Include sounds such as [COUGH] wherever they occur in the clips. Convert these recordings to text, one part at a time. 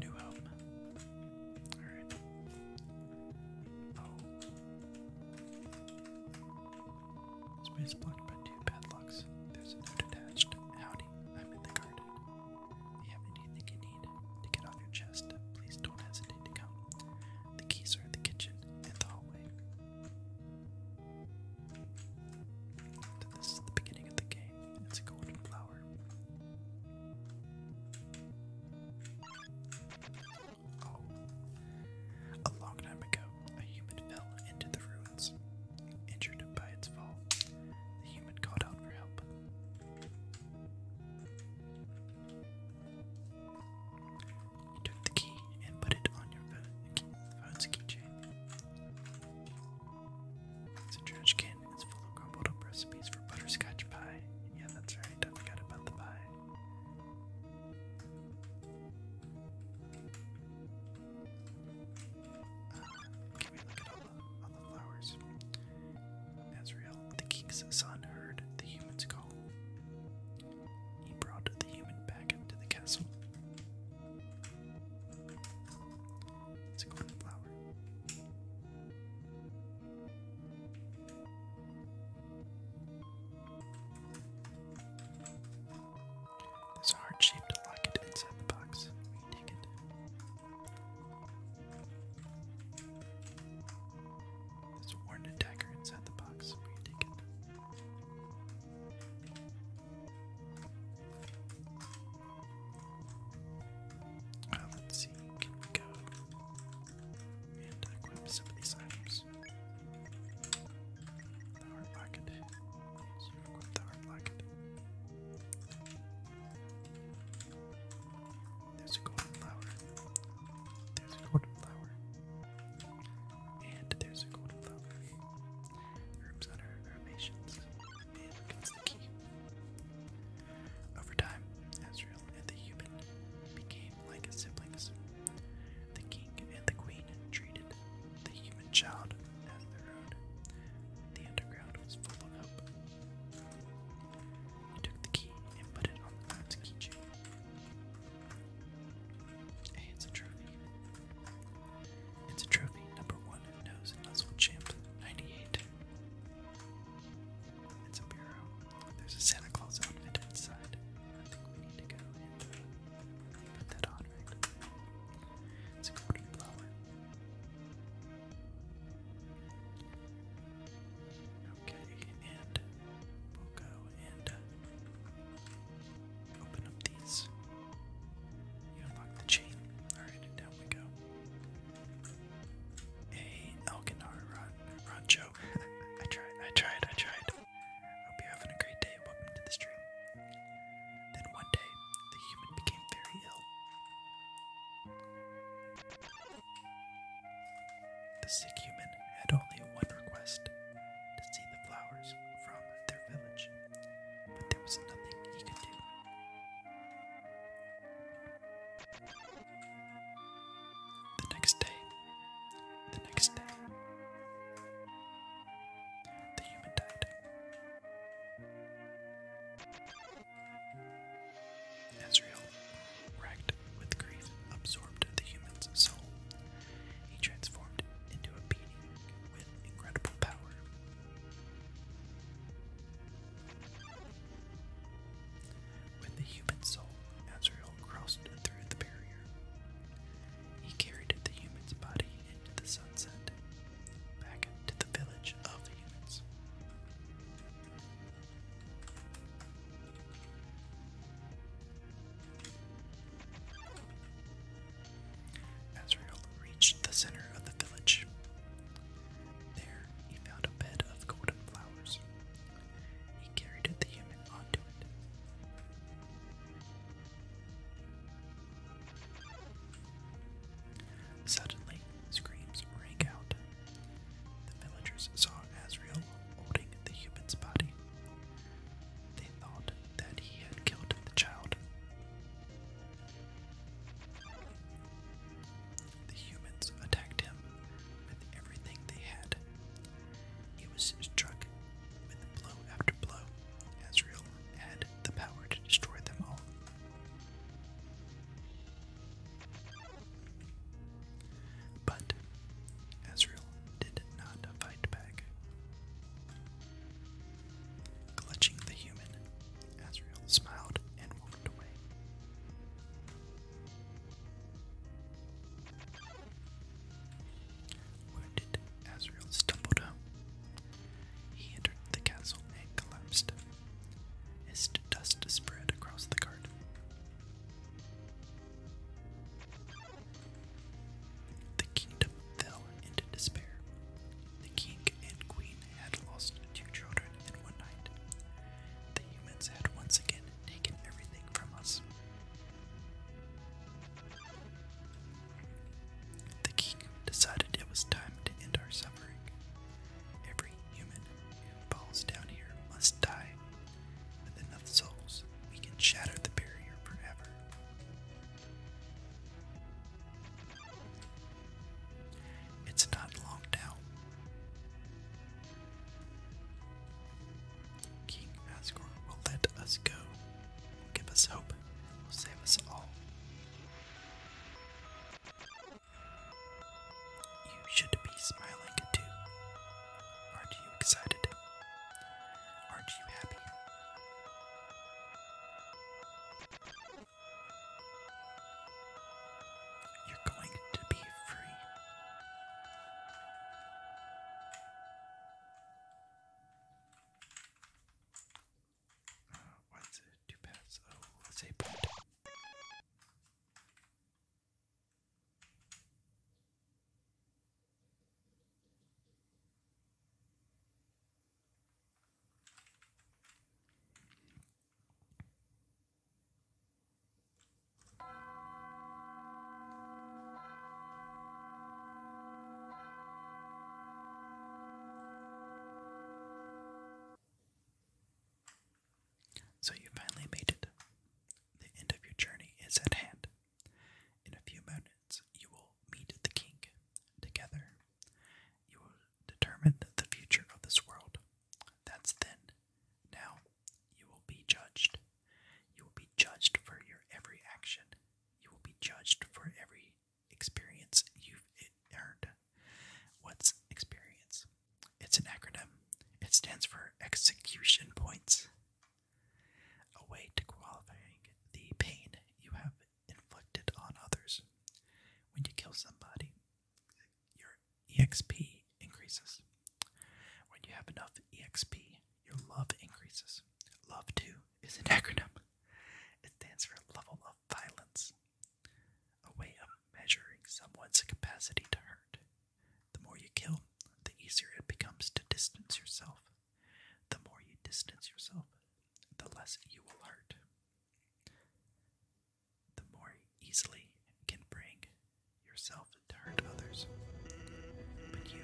New home. Alright. Oh. Space blocked by two padlocks. There's a note attached. Howdy, I'm in the garden. If you have anything you need to get off your chest, please don't hesitate to come. The keys are in the kitchen and the hallway this at the beginning of the game. It's a golden flower. Oh. A long time ago, a human fell into the ruins. Injured by its fall, the human called out for help. You took the key and put it on your phone's keychain. It's a trash can. It's full of crumbled up recipes for butterscotch pie. Yeah, that's right. I forgot about the pie. Uh, the, flowers? Azrael, the king's son, heard the human's call. He brought the human back into the castle. It's a cornflower. There's a heart shaped locket inside the box. We take it. There's a warned attacker inside the box. We take it. Uh, let's see, can we go and equip uh, some of these items? The hard pocket. So equip the hard pocket. There's a golden flower. There's a golden flower. And there's a golden flower. Over time, Azrael and the human became like siblings. The king and the queen treated the human child as their own. The underground was full of hope. He took the key and put it on the god's keychain. Hey, it's a trophy. It's a trophy, number one who knows and nuzzle champ 98. It's a bureau. There's a Santa Claus outfit inside. I think we need to go and uh, put that on, right? It's a golden flower. Okay, and we'll go and uh, Open up these. You unlock the chain. Alright, down we go. A Elkinar Ron Rancho. [LAUGHS] I tried, I tried, I tried. Hope you're having a great day. Welcome to the stream. Then one day, the human became very ill. The sick human had only one request to see the flowers from their village but there was nothing he could do. The next day, the next day, the human died. Ezreal, racked with grief, absorbed the human's soul he transformed into a being with incredible power. With the human soul, Azrael crossed through the barrier. He carried the human's body into the sunset, back to the village of humans. Azrael reached the center of the village. There he found a bed of golden flowers. He carried the human onto it. Suddenly, screams rang out. The villagers saw Azrael holding the human's body. They thought that he had killed the child. The humans attacked him with everything they had. He was struck with blow after blow. Azrael had the power to destroy them all. But Azrael did not fight back. Clutching the human, Azrael smiled and walked away. Wounded, Azrael stumbled home. He entered the castle and collapsed. as dust spread across the garden. The kingdom fell into despair. The king and queen had lost two children in one night. The humans had once again taken everything from us. The king decided it was time to end our suffering. Every human who falls down here must die. With enough souls, we can shatter the barrier forever. It's not locked out. King Asgore will let us go. give us hope. Will save us all. You should be smiling too. Aren't you excited? Aren't you happy? You're going to be free. Uh, what's it? Two paths. Oh, let's say so you finally made it. The end of your journey is at hand. In a few moments, you will meet the king. Together, you will determine the future of this world. That's then. Now, you will be judged. You will be judged for your every action. You will be judged for every experience you've earned. What's experience? It's an acronym, it stands for execution points. A way to qualifying the pain you have inflicted on others. When you kill somebody, your EXP increases. When you have enough EXP, your love increases. Love 2 is an [LAUGHS] acronym. It stands for level of violence, a way of measuring someone's capacity to hurt. The more you kill, the easier it becomes to distance yourself the more you distance yourself, the less you will hurt. The more easily you can bring yourself to hurt others. But you,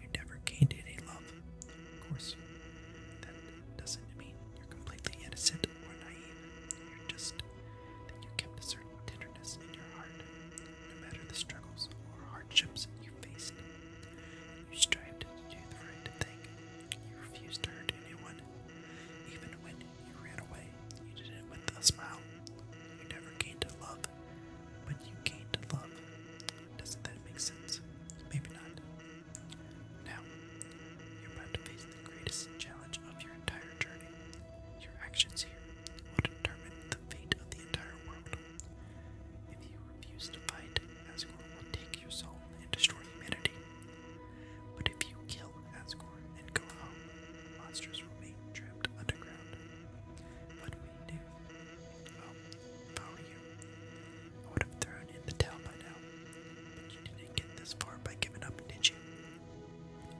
you never gained any love. Of course, that doesn't mean you're completely innocent or naive. You're just that you kept a certain tenderness in your heart, no matter the struggles or hardships you faced you strived to do the right thing. You refused to hurt anyone. Even when you ran away, you did it with a smile. You never gained a love, but you gained a love. Doesn't that make sense? Maybe not. Now, you're about to face the greatest challenge of your entire journey. Your actions here will determine the fate of the entire world. If you refuse to fight, Asgore will take your soul and destroy humanity. But if you kill Asgore and go home, monsters remain trapped underground. What will you do? Well, you, I would have thrown in the towel by now. you didn't get this far by giving up, did you?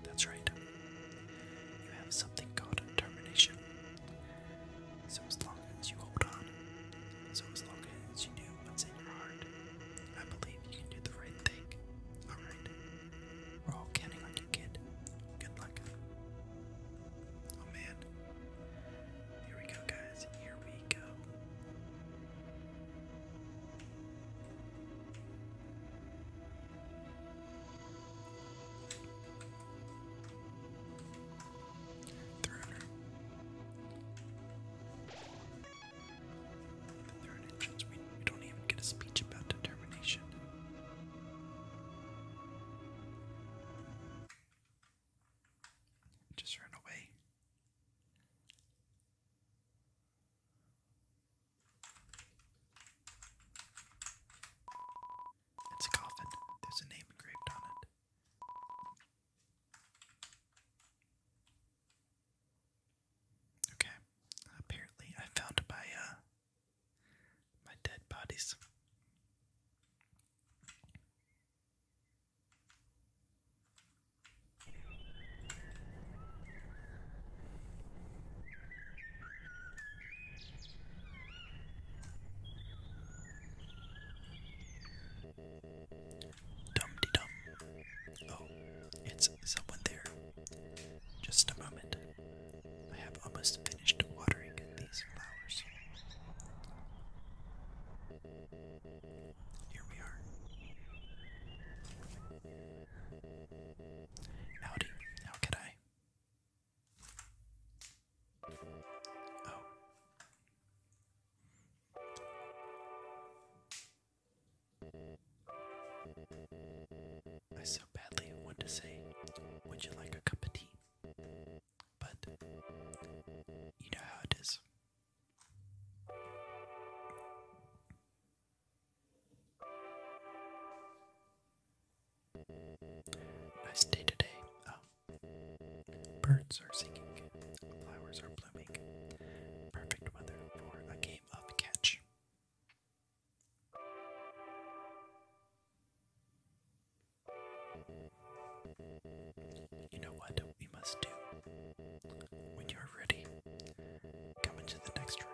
That's right. You have something called determination. So as long as you hold on, so as long as you do what's in your heart, I believe you can do the right thing. Alright? We're all counting on you, kid. Good luck. Oh man. Here we go, guys. Here we go. Threader. The we, don't even get a speech about determination. Just ran away. It's a coffin. There's a name engraved on it. Okay. Apparently, I found my uh, my dead bodies. Dum-de-dum. Oh, it's someone there. Just a moment. I have almost finished watering these flowers. Here we are. Howdy, how can I? Oh. I so badly want to say, Would you like a cup of tea? But you know how it is. I stay today. Oh. Birds are singing, flowers are blooming. Perfect weather for a game of catch. You know what we must do? When you're ready, come into the next room.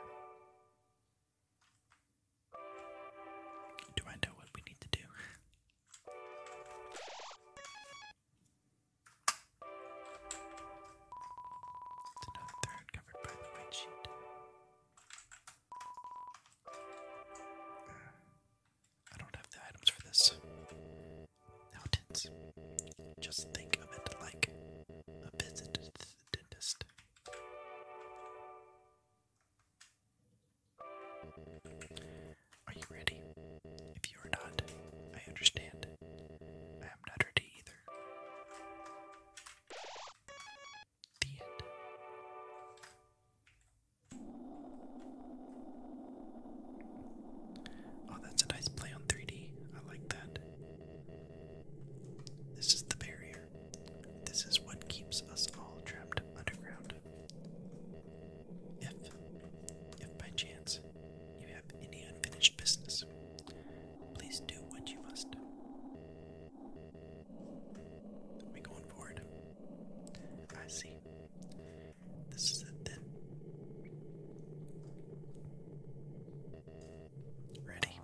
Do I know what we need to do? It's another third covered by the white sheet. Uh, I don't have the items for this. Mountains. Just think of it like a visit to the dentist. Are you ready? If you are not, I understand. I am not ready either. The Oh, that's a nice play on 3D. I like that. This is the barrier. This is what keeps us all trapped underground. If, if by chance you have any unfinished business, please do what you must. we going forward? I see. This is it then. Ready?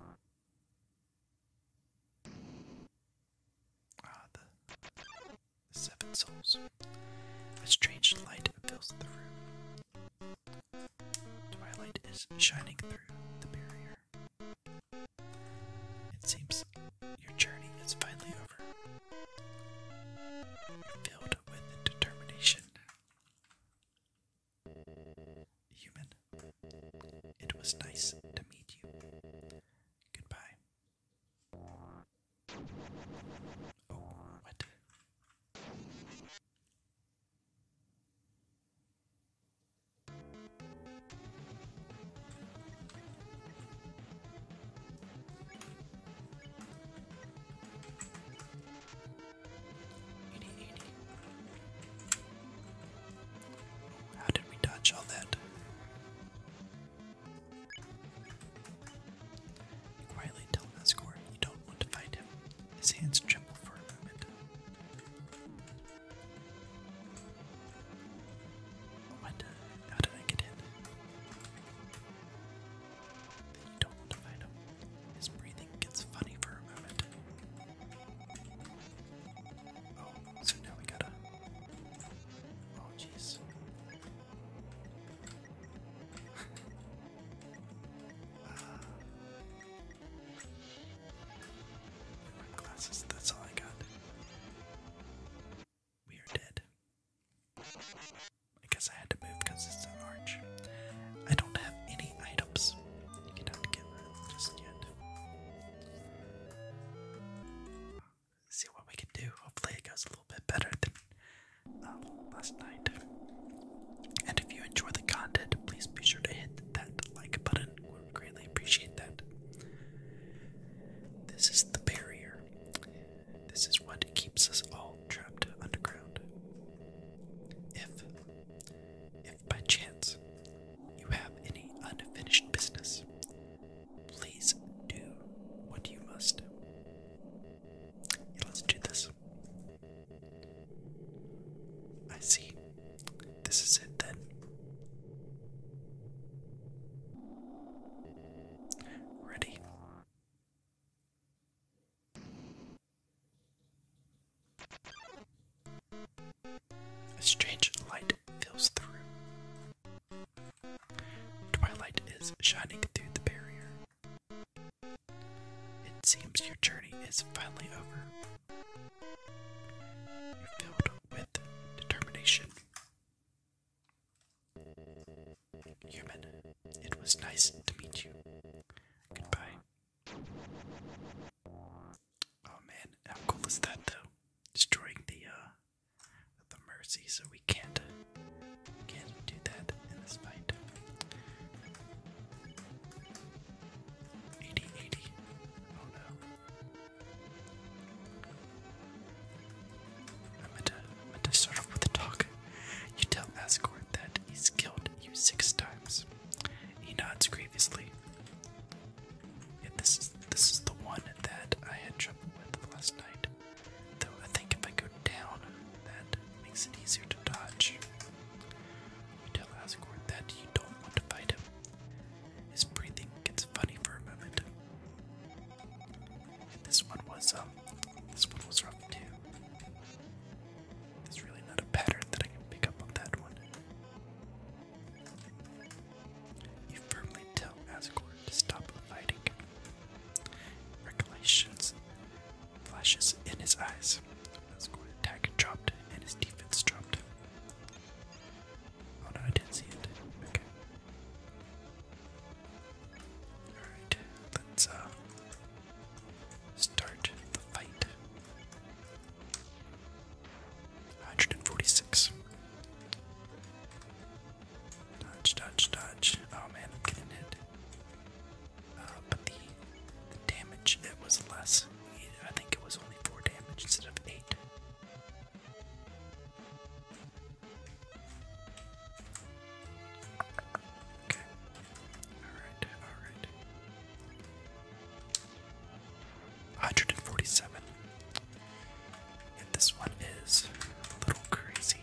Ah, the seven souls. A strange light fills the room. Twilight is shining through the barrier. It seems your journey is finally over. You're filled with determination. Human, it was nice to meet you. Goodbye. Oh, what? How did we dodge all that? You quietly tell an you don't want to find him. His hands tremble for a moment. Oh, what? How did I get in? you don't want to find him. His breathing gets funny for a moment. Oh, so now we gotta. Oh, jeez glasses, that's all I got. We are dead. I guess I had to move because it's an arch. I don't have any items see what we can do. Hopefully, it goes a little bit better than um, last night. And if you enjoy the content, please be sure to hit that like button. We would greatly appreciate that. This is the barrier. This is what keeps us all trapped underground. If, if by chance you have any unfinished business, Please do what you must. Yeah, let's do this. I see. This is it then. Ready. A strange light fills through. Twilight is shining through the barrier. It seems your journey is finally over. You're filled with determination. Human, it was nice to meet you. Goodbye. Oh man, how cool is that though? Destroying the uh, the mercy, so we can't can't do that in this fight. 80 Oh no. I meant to, I meant to start off with the talk. You tell Asgore that he's killed you six times. He nods grievously. Yeah, this is this is the one that I had trouble with last night. Though I think if I go down, that makes it easier to dodge. You tell Asgord that you don't want to fight him. His breathing gets funny for a moment. this one was um this one was rough too. There's really not a pattern that I can pick up on that one. You firmly tell Asgore to stop fighting. Recollections flashes in his eyes. Asgore attack dropped and his defense dropped. Oh no, I didn't see it. Okay. Alright, let's uh start the fight. 146. Dodge, dodge, dodge. Oh man, I'm getting hit. Uh, but the damage, it was less. I think it was only 4 damage instead of 8. Okay. Alright, alright. 147. And this one is a little crazy.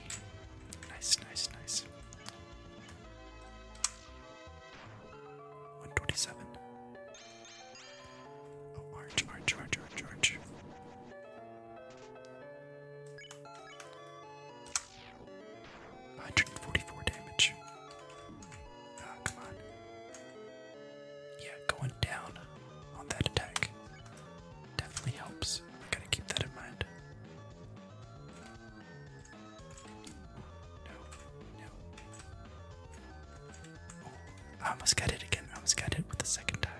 Nice, nice, nice. 127. Oh, orange, orange, orange, orange, One hundred and forty-four damage. Ah, come on. Yeah, going down on that attack. Definitely helps. I gotta keep that in mind. Oh, I almost got it again. I almost got it with the second time.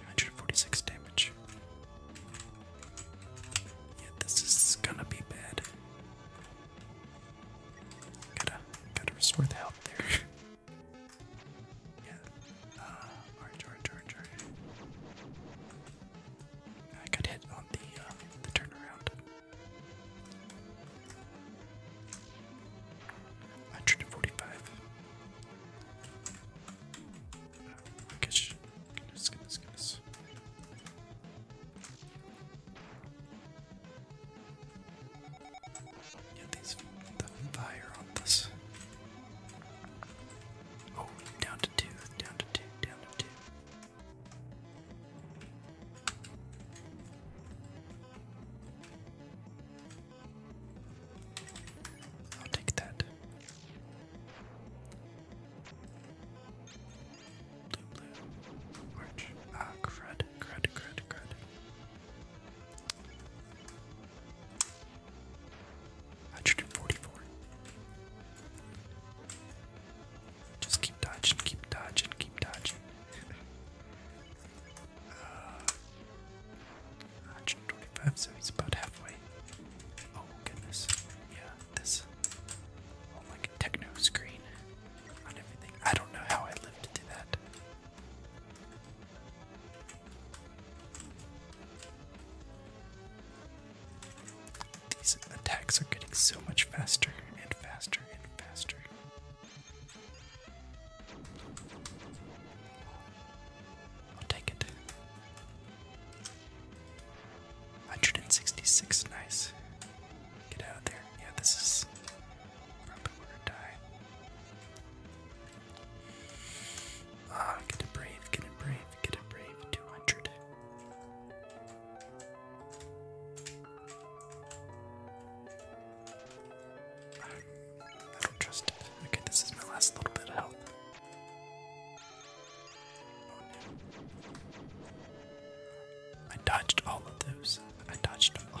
146 damage. Yeah, this is gonna be bad. Gotta, gotta restore the health there. [LAUGHS] Yeah. Uh, orange, orange, orange, I got hit on the, uh, the turnaround. Hundred and forty-five. Oh, uh, gosh. Goodness, goodness, goodness. Get these the fire on this. Oh, down to two, down to two, down to two. I'll take that. Blue, blue, Ah, crud, crud, crud, crud. 144. Just keep dodging, keep dodging, keep dodging. 125, uh, so he's about halfway. Oh goodness. Yeah, this oh like a techno screen on everything. I don't know how I lived to do that. These attacks are getting so much faster and faster and faster. I'll take it. 166, nice. Get out there. Yeah, this is probably where I die. Ah, get it brave, get it brave, get it brave, 200. I don't trust it. Okay, this is my last little bit of health. Oh, I dodged all of those. I dodged them all.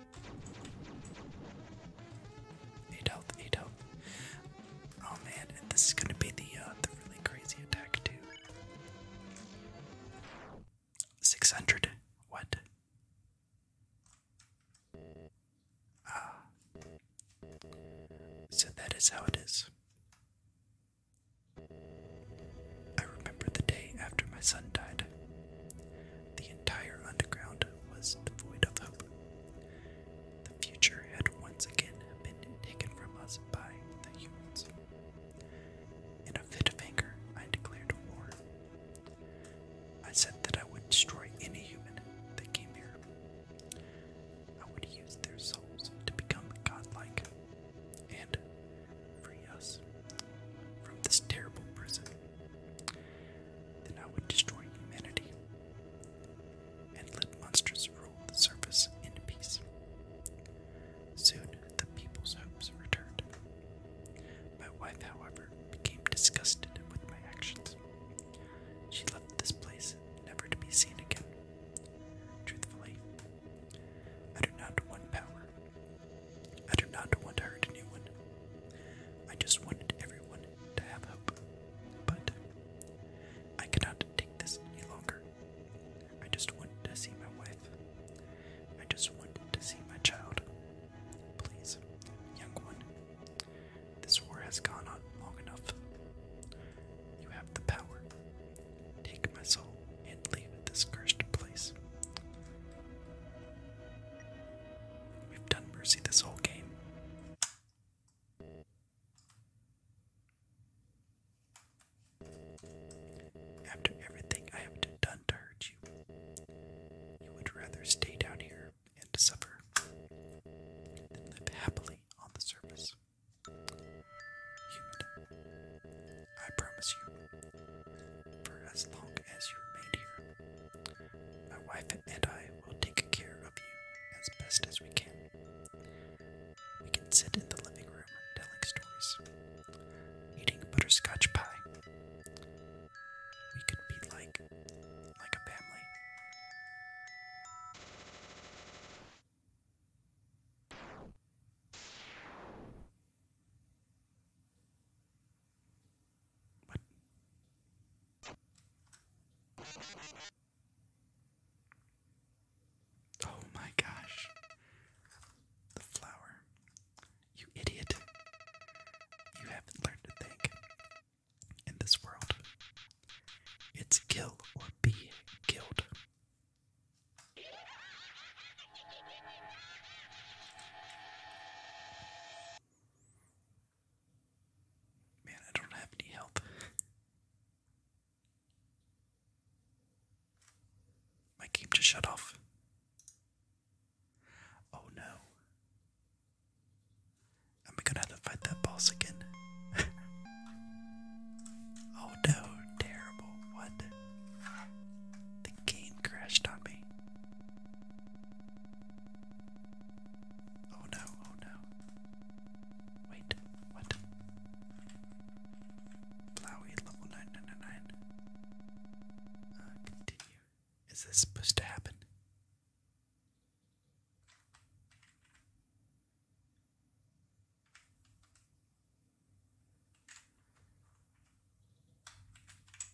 Eight health, eight health. Oh man, this is gonna be the uh, the really crazy attack too. Six hundred. What? Ah. So that is how it is. I remember the day after my son died. The entire underground was void of hope. The future had once again been taken from us by the humans. In a fit of anger, I declared war. I said that I would destroy any human that came here. I would use their souls to become godlike and free us from this terrible prison then I would destroy humanity and let monsters rule the surface in peace. Soon the people's hopes returned. My wife, however, became disgusted with my actions. She left this place never to be seen again. Truthfully, I do not want power. I do not want to hurt anyone. I just wanted everyone to have hope, but I cannot take this any longer. I just want to see my wife. I just want to see my child. Please, young one, this war has gone on long enough. You have the power. Take my soul and leave this cursed place. We've done mercy this whole game. After everything I have done to hurt you, you would rather stay down here and suffer than live happily on the surface. I promise you, for as long as you remain here, my wife and I will take care of you as best as we can. We can sit in the living room telling stories, eating butterscotch pie. We could be like, like a family. Oh my gosh. The flower. You idiot. You haven't learned to think. In this world, it's kill or be killed. Man, I don't have any health. My game just shut off. Oh no. Am I gonna have to fight that boss again? [LAUGHS] oh no, terrible. What? The game crashed on me. Oh no, oh no. Wait, what? Flowey level 999. Uh, continue. Is this supposed to happen?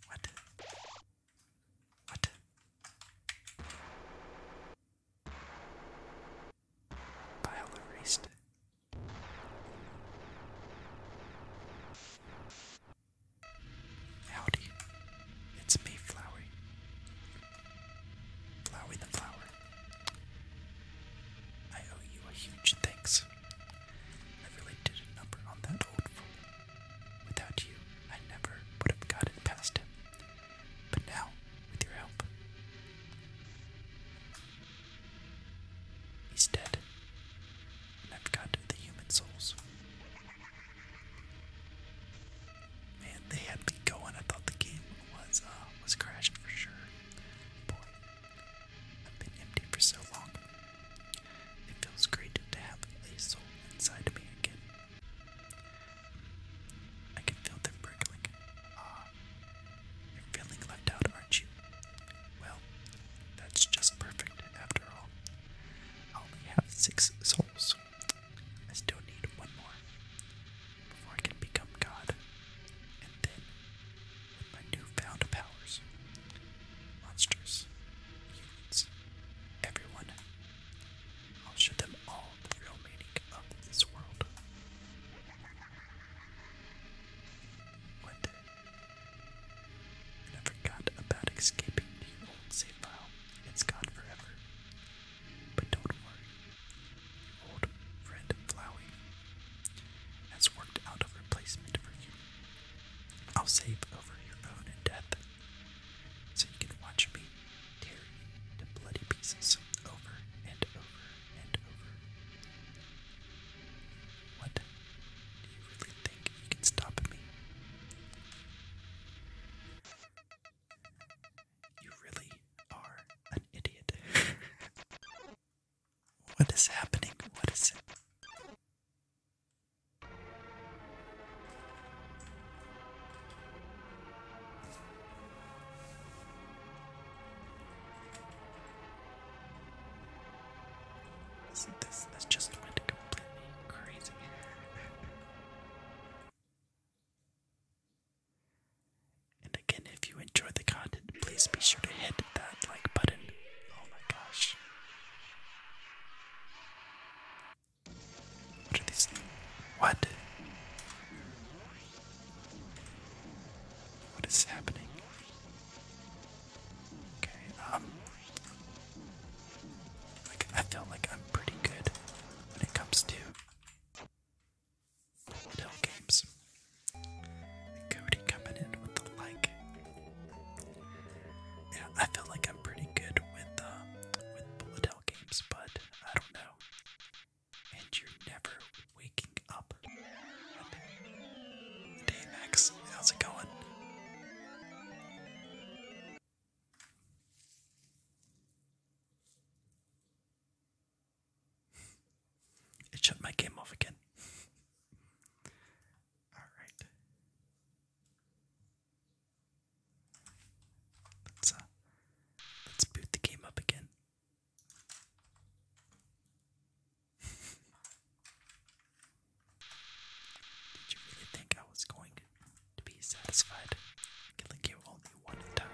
What? What? Pile erased. Howdy. It's me, Flowery. Flowery the Flower. I owe you a huge thanks. I really did a number on that old fool. Without you, I never would have gotten past him. But now, with your help, he's dead. And I've got the human souls. Man, they had me going. I thought the game was uh was crashed for sure. Boy, I've been empty for so long. It feels great to have a soul inside me again. I can feel them prickling. Ah, you're feeling left out, aren't you? Well, that's just perfect, after all. I only have six souls. I still need one more before I can become God. And then, with my newfound powers, monsters, humans, everyone I'll show them all the real meaning of this world. One never got about escaping the old save file. It's gone forever. But don't worry, old friend Flowey has worked out a replacement for you. I'll save over your own death so you can watch me tear you to bloody pieces over and over and over. What? Do you really think you can stop me? You really are an idiot. [LAUGHS] what is happening? What is it? So this this just went completely crazy. and again, if you enjoy the content, please be sure to hit that like button. Oh my gosh. What are these? What? What is happening? Okay, um. I feel like I'm pretty good when it comes to Hill games. Cody coming in with the like. Yeah, I feel like I'm pretty good with um, with bullet hell games, but I don't know. And you're never waking up. Hey how's it going? it shut my game off again. All right. Let's uh let's boot the game up again. Did you really think I was going to be satisfied killing you only one time?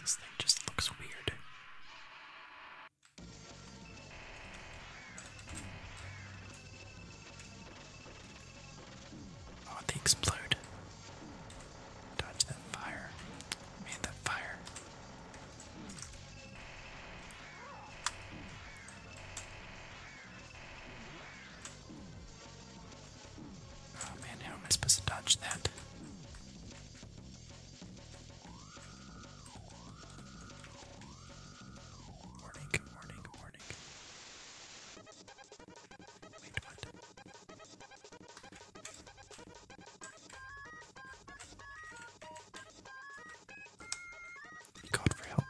This thing just looks weird. Oh, they explode. Dodge that fire. Man, that fire. Oh man, how am I supposed to dodge that? Warning, warning, warning. God for help.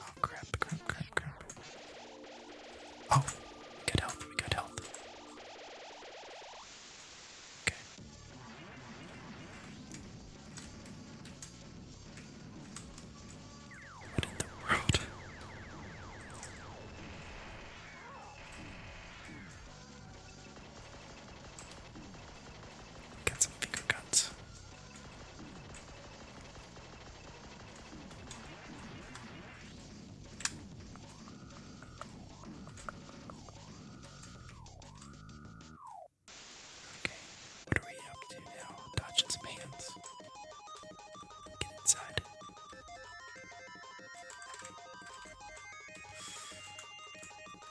Oh crap, crap, crap, crap. Oh, we got health, we got health. Okay. What in the world? Get some finger guns. Okay, what are we up to now? Dodge his pants. Get inside.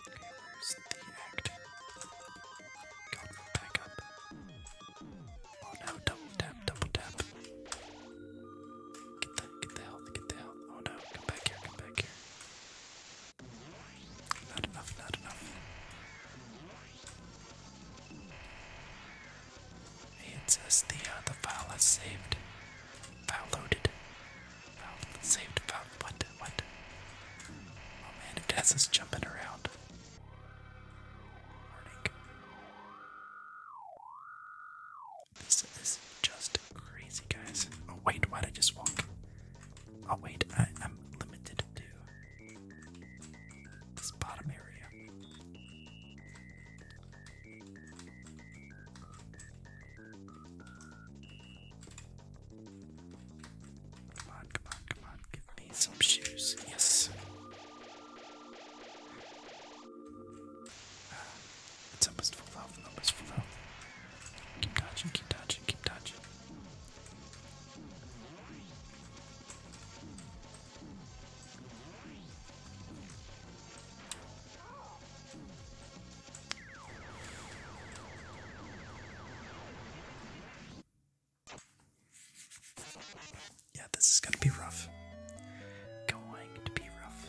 Okay, where's the act? Got back up. Oh no, double tap, double tap. get the health, get the health. Oh no, come back here, come back here. Not enough, not enough. It says the uh, the file is saved. File loaded. File saved. File what? What? Oh man, it has us jumping around. This is just crazy, guys. Oh wait, why did I just walk? Oh wait, I'm limited to this bottom area. Come on, come on, come on. Give me some shoes. Yes. Ah, it's almost full health, almost full health. Keep dodging, keep dodging, keep dodging. Yeah, this is going to be rough. Going to be rough.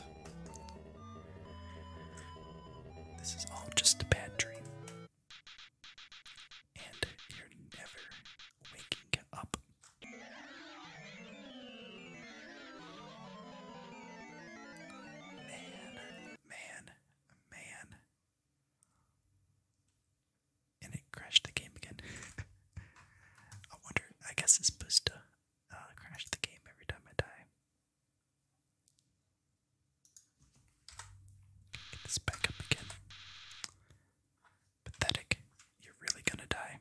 This is all just a bad dream and you're never waking up. Man, man, man. And it crashed the game again. [LAUGHS] I wonder, I guess it's supposed to uh, crash the game every time I die. Get this back up again. Pathetic. You're really gonna die.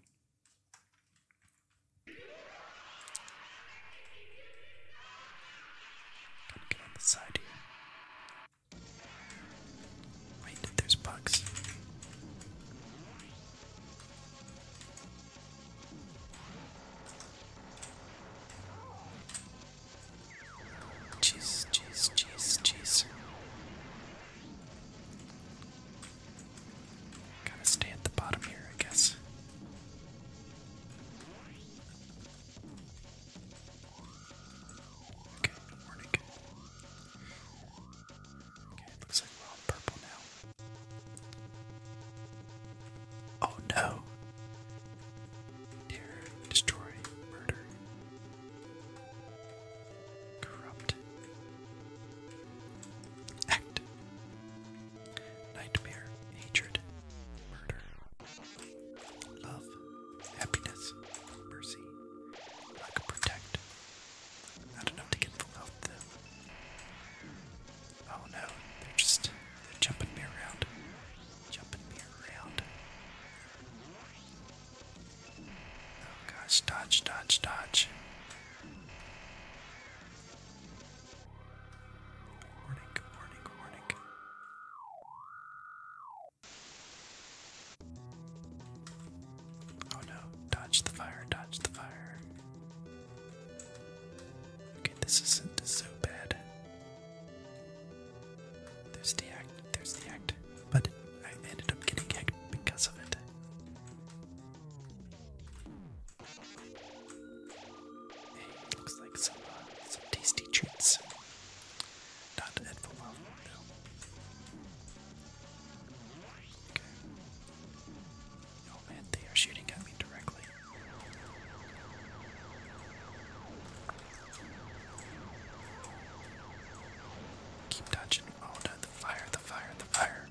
Gotta get on the side here. Wait, there's bugs. Jeez, jeez, jeez, jeez. Gotta stay at the bottom here, I guess. Okay, we Okay, looks like we're all purple now. Oh no! Terror, destroy, murder. Corrupt. Act. Nightmare. Hatred. Murder. Love. Happiness. Mercy. Lack protect. Not enough to get full health though. Oh no, they're just jumping me around. Jumping me around. Oh gosh, dodge, dodge, dodge. Warning, warning, warning. Oh no, dodge the fire, dodge the fire. Okay, this isn't so bad. There's the act, there's the act but I ended up getting hacked because of it. looks like some, uh, tasty treats. no. Oh, man, they are shooting at me directly. Keep dodging. Oh no, the fire, the fire, the fire.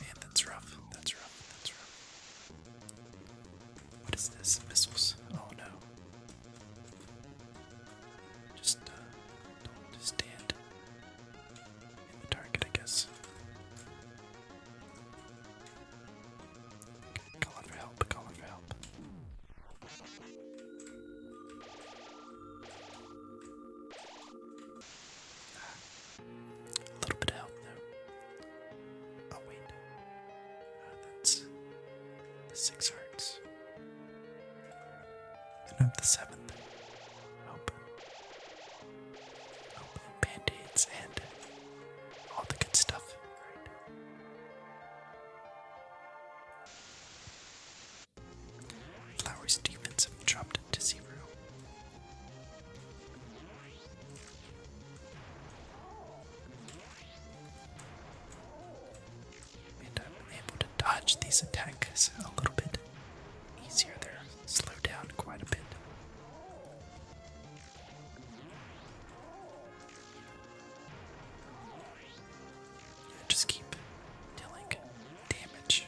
Man, that's rough. That's rough. That's rough. What is this? Missiles? Oh no. Just uh, don't stand the target, I guess. Call for help, call for help. Ah, a little bit of help now. Oh, wait. Ah, that's six hearts. And I'm the seventh. Open. Band-aids and all the good stuff. Flowers' defense have dropped to zero. And i able to dodge these attacks a little bit easier there slow down quite a bit. just keep dealing damage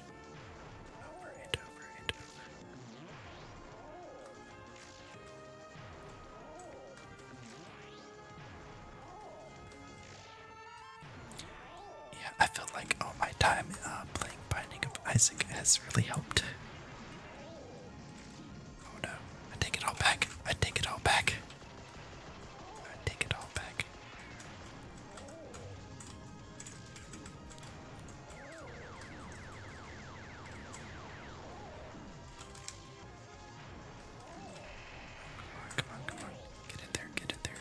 yeah, I feel like all oh, my time uh, playing Binding of Isaac has really helped. Oh no, I take it all back. I take it all back. I take it all back. Come on, Get in there, get in there.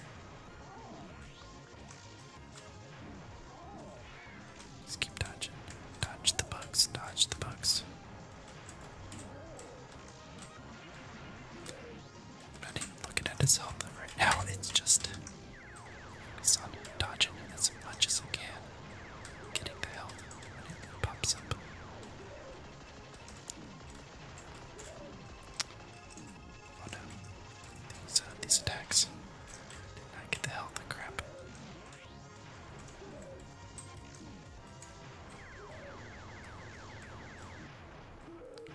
Just keep dodging. Dodge the bugs, dodge the bugs. I'm not even looking at his health right now, it's just it's on dodging as much as I can. Getting the health it pops up. Oh These, these attacks. Did not get the health crap.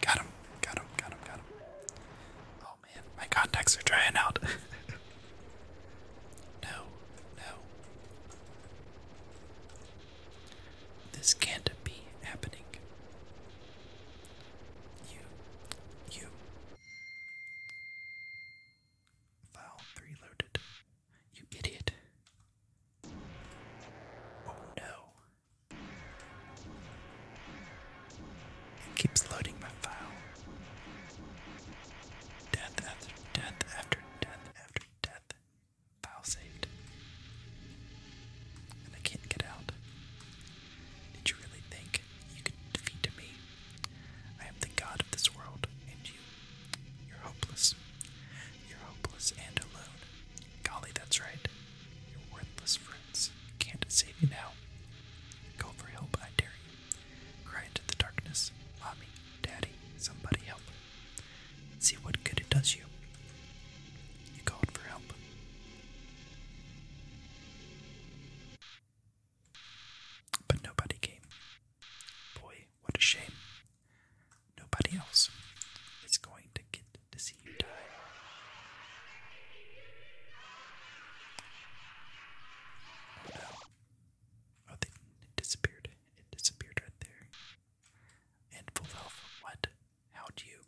Got him. Got him. Got him. Got him. Oh man, my contacts are drying out. [LAUGHS] no. No. This can't be happening. You, you, File 3 loaded. You idiot. Oh no. keeps loading my file. Death after death after death after death. File saved. And I can't get out. Did you really think you could defeat me? I am the god of this world, and you. You're hopeless. You're hopeless and alone. Golly, that's right. You're worthless friends. can't save you now. Go for help, I dare you. Cry into the darkness. Mommy, Daddy, somebody help. See what good it does you. You called for help. But nobody came. Boy, what a shame. Nobody else is going to get to see you die. Oh no. Oh, they, it disappeared. It disappeared right there. And full What? How do you?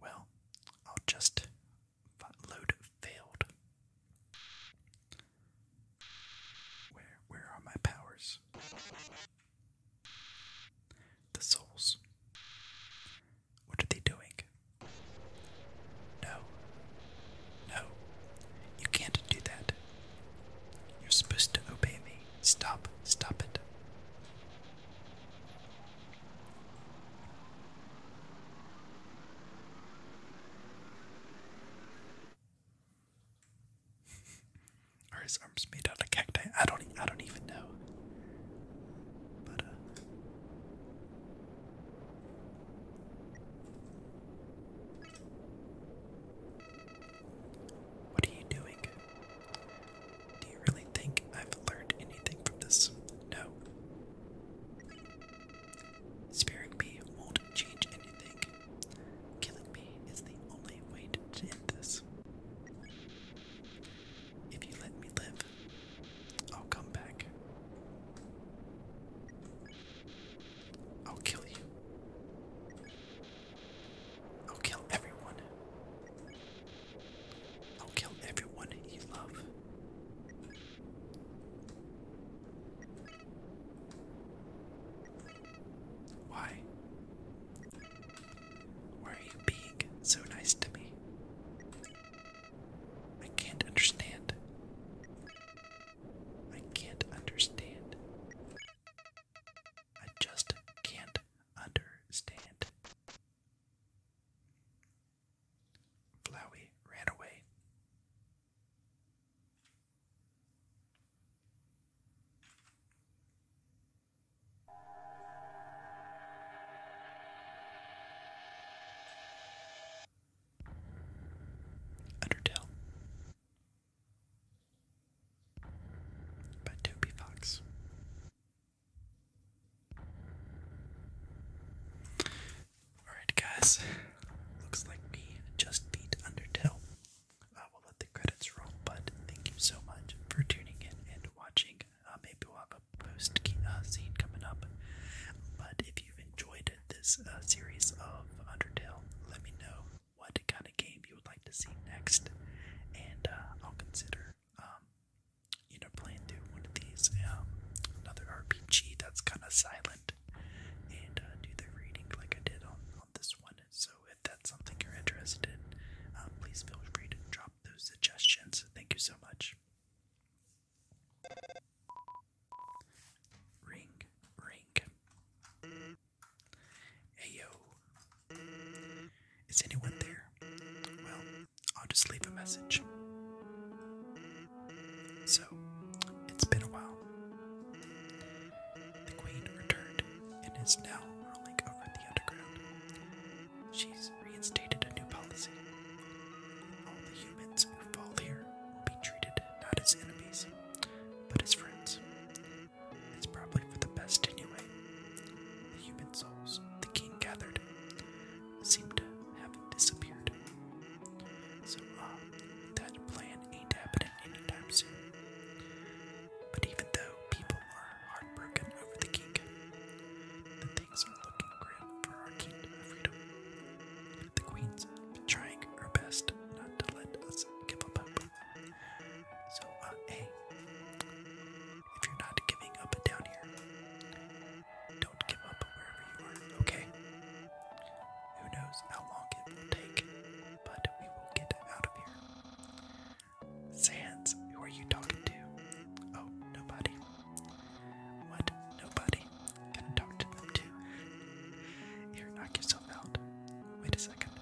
Well, I'll just load failed. Where where are my powers? The souls. What are they doing? No. No. You can't do that. You're supposed to obey me. Stop. Stop it. Are his arms made out of cacti? I don't. I don't even know. But. Uh, what are you doing? Do you really think I've learned anything from this? No, Sparing me won't change anything. Killing me is the only way to end this. If you let me live, I'll come back. I'll kill you. I'll kill everyone. I'll kill everyone you love. Why? Why are you being so nice to me? I can't understand. I can't understand. I just can't understand. Flowey ran away. Undertale by Toby Fox. Alright, guys. Looks like we just beat Undertale. Uh, will let the credits roll, but thank you so much for tuning in and watching. Uh, maybe we'll have a post uh, scene coming up. But if you've enjoyed this uh, series of Undertale, let me know what kind of game you would like to see next, and uh, I'll consider um, you know, playing through one of these, um, another RPG that's kind of silent, and uh, do the reading like I did on, on this one. So if that's something you're interested in, um, please feel free to drop those suggestions. Thank you so much. Ring, ring. Hey Is anyone there? Well, I'll just leave a message. So, it's been a while. The queen returned and is now ruling over the underground. She's reinstated a new policy. All the humans who fall here will be treated not as enemies, but as friends. It's probably for the best anyway. The human souls the king gathered seem to have disappeared. So, uh, that plan ain't happening anytime soon. But even though people are heartbroken over the kingdom, things are looking grim for our kingdom The queen's trying her best not to let us give up So, uh, if you're not giving up down here, don't give up wherever you are, okay? Who knows how long it will take, but we will get out of here. Sands, who are you talking to? Oh, nobody. What? Nobody? Gonna talk to them too. You're knock yourself out. Wait a second.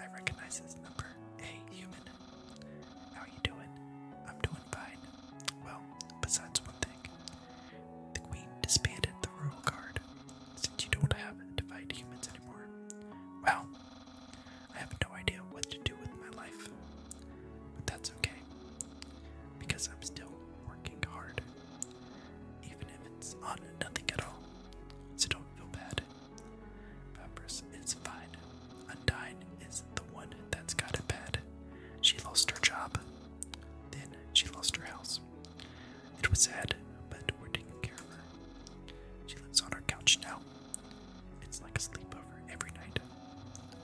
I recognize this number. A human. How you doing? I'm doing fine. Well, besides one thing, the Queen disbanded the Royal Guard since you don't have to fight humans anymore. Well, I have no idea what to do with my life, but that's okay because I'm still working hard, even if it's on nothing at all. So don't feel bad. Papyrus is fine. Undyne is the one that's got it bad. She lost her job, then she lost her house. It was sad, but we're taking care of her. She lives on our couch now. It's like a sleepover every night.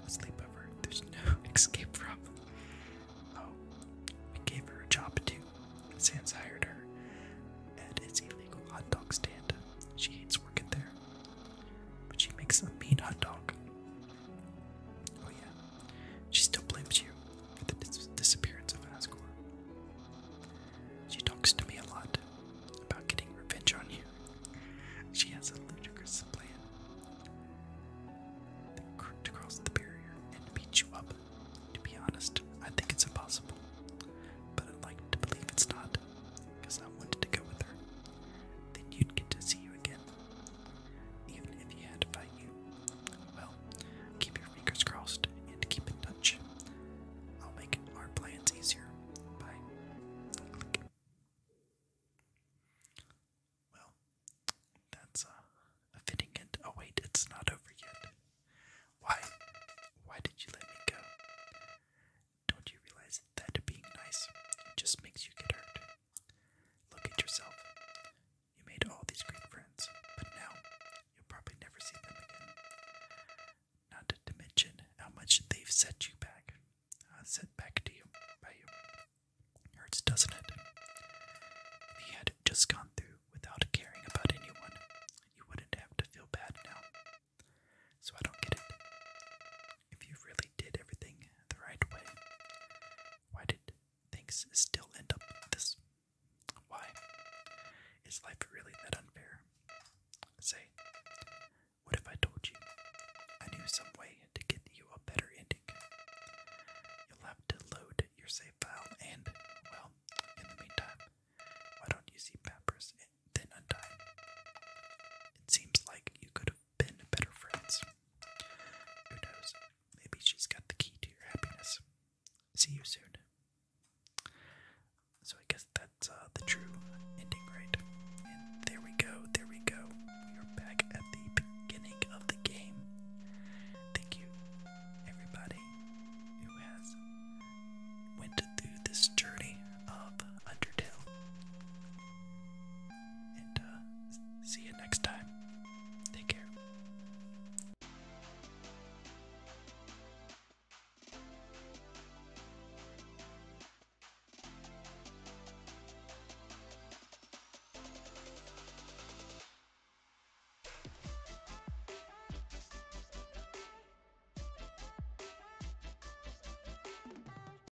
A sleepover there's no [LAUGHS] escape from. Oh, we gave her a job too. Sans hired her at its illegal hot dog stand. She hates working there, but she makes a mean hot dog. Oh, yeah. She still blames you for the disappearance of Asgore. She talks to me a lot about getting revenge on you. She has a ludicrous plan to cross the barrier and beat you up. To be honest, I think it's impossible, but I'd like to believe it's not, because I wanted to go with her. Then you'd get to see you again even if he had to fight you. Well, keep your fingers crossed and keep in touch. I'll make our plans easier. Bye. Well, that's uh, fitting end. Oh wait, it's not over yet. Why? Why did you let me go? Don't you realize that being nice just makes you get hurt? Look at yourself. You made all these great friends, but now you'll probably never see them again. Not to mention how much they've set you back, uh, set back to you you. It hurts, doesn't it? If you had just gone through without caring about anyone, you wouldn't have to feel bad now. So I don't get it. If you really did everything the right way, why did things still end up this? Why? Is life really that unfair? Say, what if I told you I knew some way to get you a better ending? You'll have to load your save file and, well, in the meantime, why don't you see Papyrus and then It seems like you could been better friends. Who knows? Maybe she's got the key to your happiness. See you soon. So I guess that's uh, the true ending, right? there we go, there we go. We are back at the beginning of the game. Thank you, everybody who has went through this journey of Undertale. Uh, see you next time. Take care.